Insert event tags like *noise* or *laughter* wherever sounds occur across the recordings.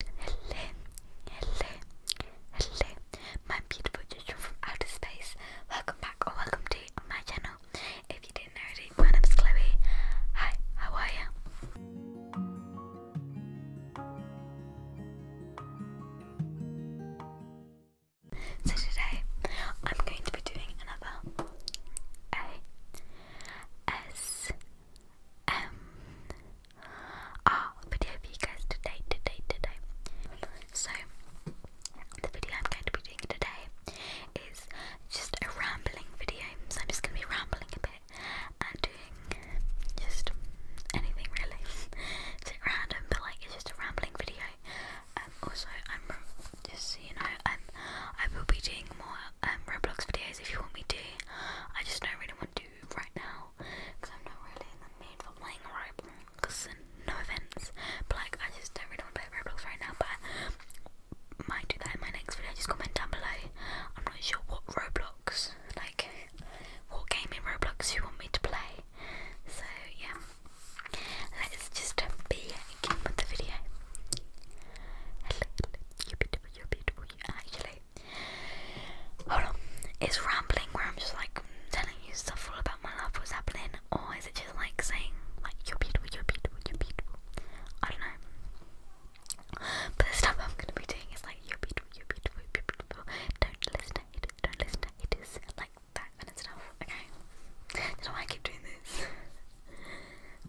Hello, hello, hello, my beautiful children from outer space. Welcome back or welcome to my channel. If you didn't already, my name is Chloe. Hi, how are you? So today, I'm going to be doing another A S M Ah, video for you guys today, today, today. So, the video I'm going to be doing today is just a rambling video. So I'm just going to be rambling a bit and doing just anything really. *laughs* it's random, but like it's just a rambling video. Um, also, I'm just you know, I'm I will be doing more um Roblox videos if you want me to. I just don't really want to right now because I'm not really in the mood for playing Roblox. No offense, but like I just don't really want to play Roblox right now. But I might do that in my next video. Just comment down below. I'm not sure what Roblox, like what game in Roblox you want me to play. So yeah, let's just begin with the video. Hello, you beautiful, you beautiful. actually Hold on. Is rambling where I'm just like telling you stuff all about my life, what's happening, or is it just like saying like you're beautiful, you're beautiful, you're beautiful? I don't know. But the stuff I'm gonna be doing is like you're beautiful, you're beautiful, you're beautiful. Don't listen to haters, don't listen to haters, like that kind of stuff. Okay. That's why I keep doing this. *laughs*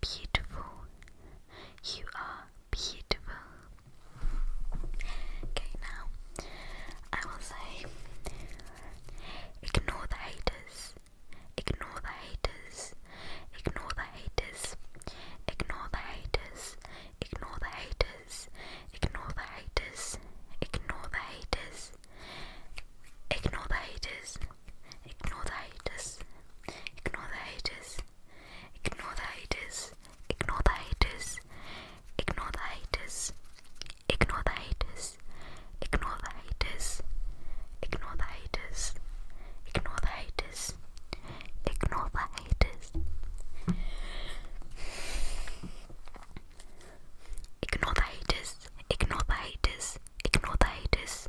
beautiful. You are beautiful. Okay, now I will say ignore the haters, ignore the haters, ignore the haters, ignore the haters, ignore the haters, ignore the haters, ignore the haters, ignore the haters, ignore the haters, ignore the haters. Ignore the haters. Ignore the haters. Ignore the haters. Ignore the haters. Ignore the haters. Ignore the haters. Ignore the haters. Ignore the haters. Ignore the haters. Ignore the haters. Ignore the haters.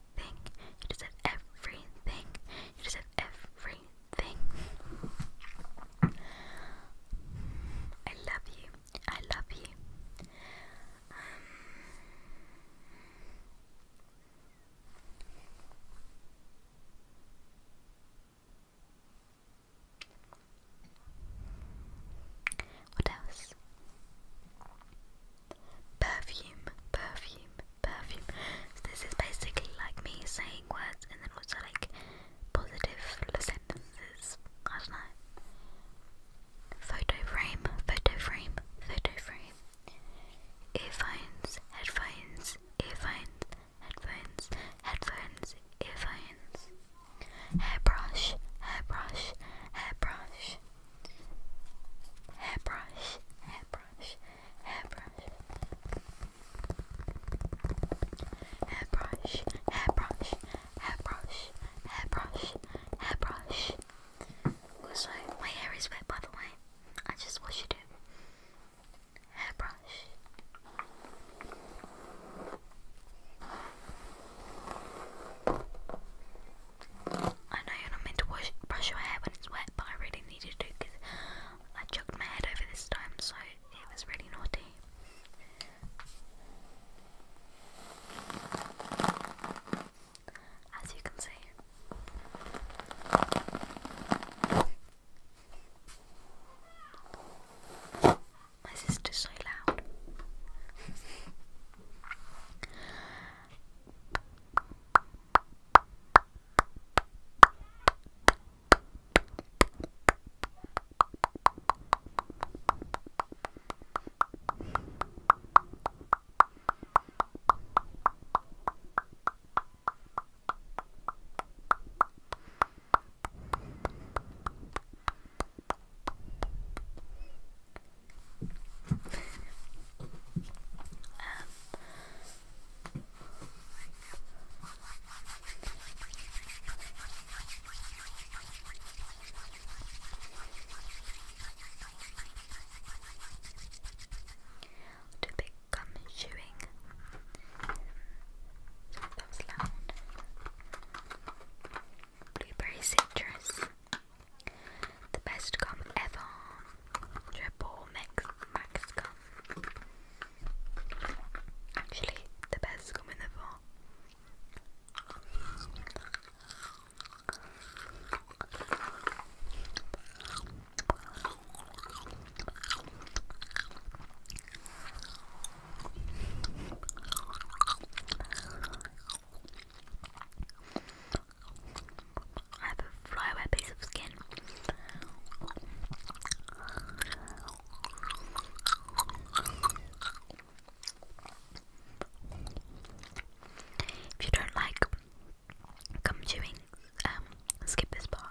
You It is at everything. It is at everything. I love you. I love you. Um, what else? perfume, perfume, perfume. So this is basically like me saying words and then also like positive sentences. I don't know. Photo frame, photo frame, photo frame. Earphones, headphones, earphones, headphones, headphones, earphones. Hairbrush, hairbrush, hairbrush hairbrush, hairbrush, hairbrush, hairbrush, hairbrush, hairbrush, hairbrush, hairbrush. Also, my hair is wet by the way. I just washed it. Hairbrush. I know you're not meant to wash, brush your hair when it's wet, but I really needed to because I chucked my head over this time, so it was really naughty. As you can see. My sister's so loud um, to become chewing. So that was loud blueberry citrus. The best gum ever. Triple mix max gum. Actually, the best gum in I have a flyaway piece of skin. If you don't like gum chewing, um, skip this part.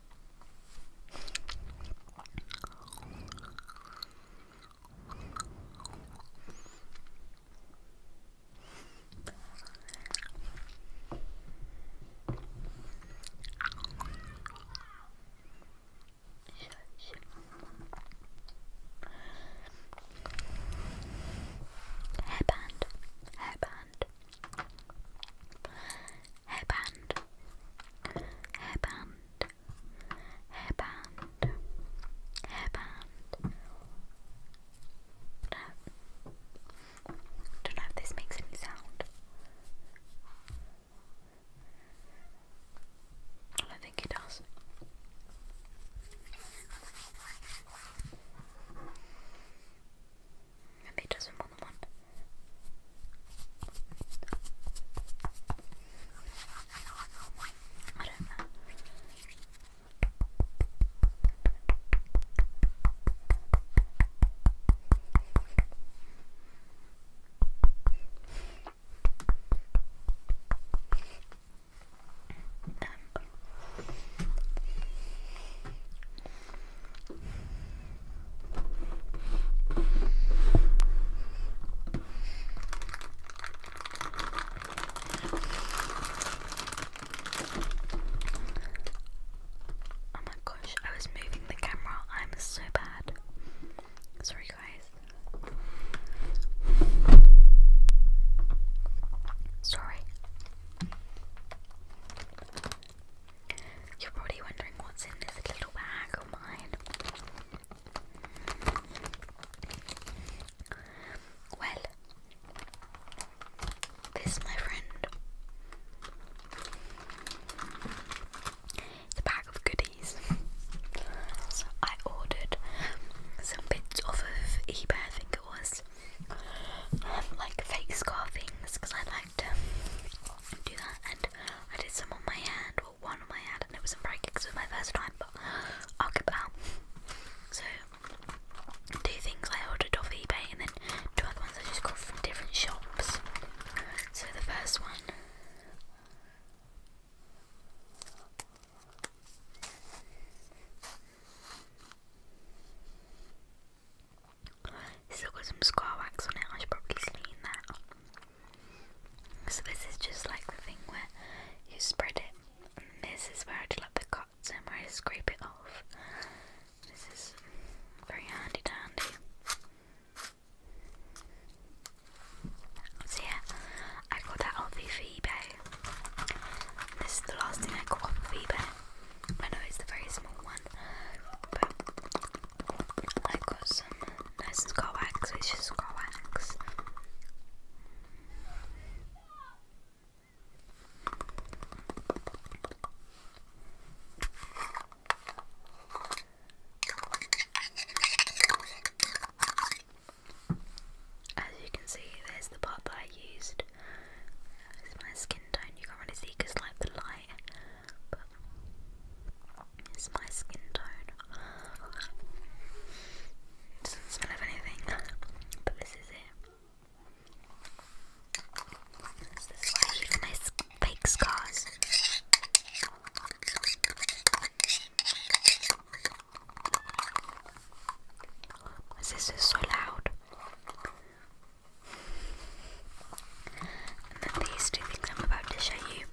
Hairband, hairband, hairband, hairband, hairband, hairband. Don't know if this makes any sound. I think it does. Maybe it doesn't want the one. Oh my gosh, I was moving the camera. I'm so bad. Sorry, guys. Sorry. You're probably wondering what's in this little bag of mine. Well, this, my friend, is a bag of goodies. *laughs* I ordered some bits off of eBay, I think it was, um, like fake scarfings because I like to um, do that. And I did some on my hand, or one on my hand, and it wasn't very good because it was my first time, but I'll get out. So, two things I ordered off eBay, and then two other ones I just got from different shops. So, the first one. Still got some scar wax on it, I should probably clean that. So this is just like the thing where you spread it. And this is where I do like the cuts and where I scrape it off. This is very handy dandy. So yeah, I got that off eBay. This is the last thing I got off of eBay. I know it's the very small one, but I got some nice scar wax, which is wax. As you can see, there's the part that I used it's my skin tone. You can't really see like the light, but it's my skin tone. doesn't smell of anything, but this is it. This is why fake scars. My sister's so loud. And then these two things I'm about to show you,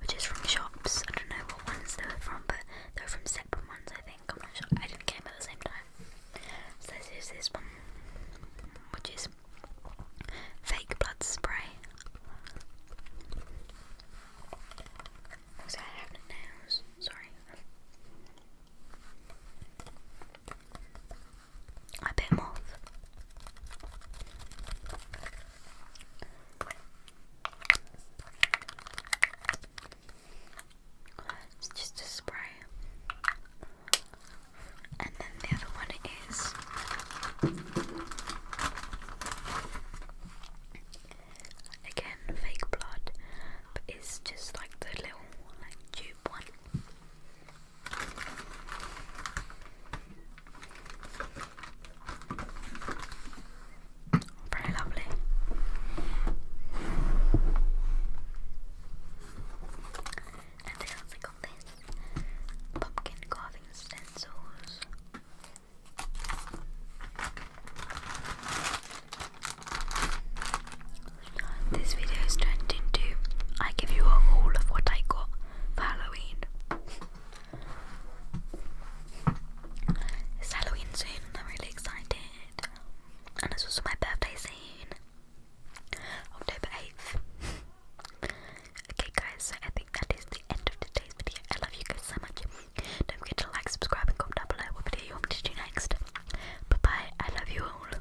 which is from shops. I don't know what ones they are from, but they are from separate ones, I think. I'm not sure. I didn't get them at the same time. So this is this one, which is fake blood spray. Because I have Sorry. I bit moth. It's just a spray. And then the other one is again fake blood, but it's just like the little like tube one. Very lovely. And they also got this pumpkin carving stencils. This video is turned into I give you a haul of what I got for Halloween. It's Halloween soon, I'm really excited. And it's also my birthday soon. October 8th. okay guys, so I think that is the end of today's video. I love you guys so much. Don't forget to like, subscribe, and comment down below what video you want me to do next. Bye bye, I love you all.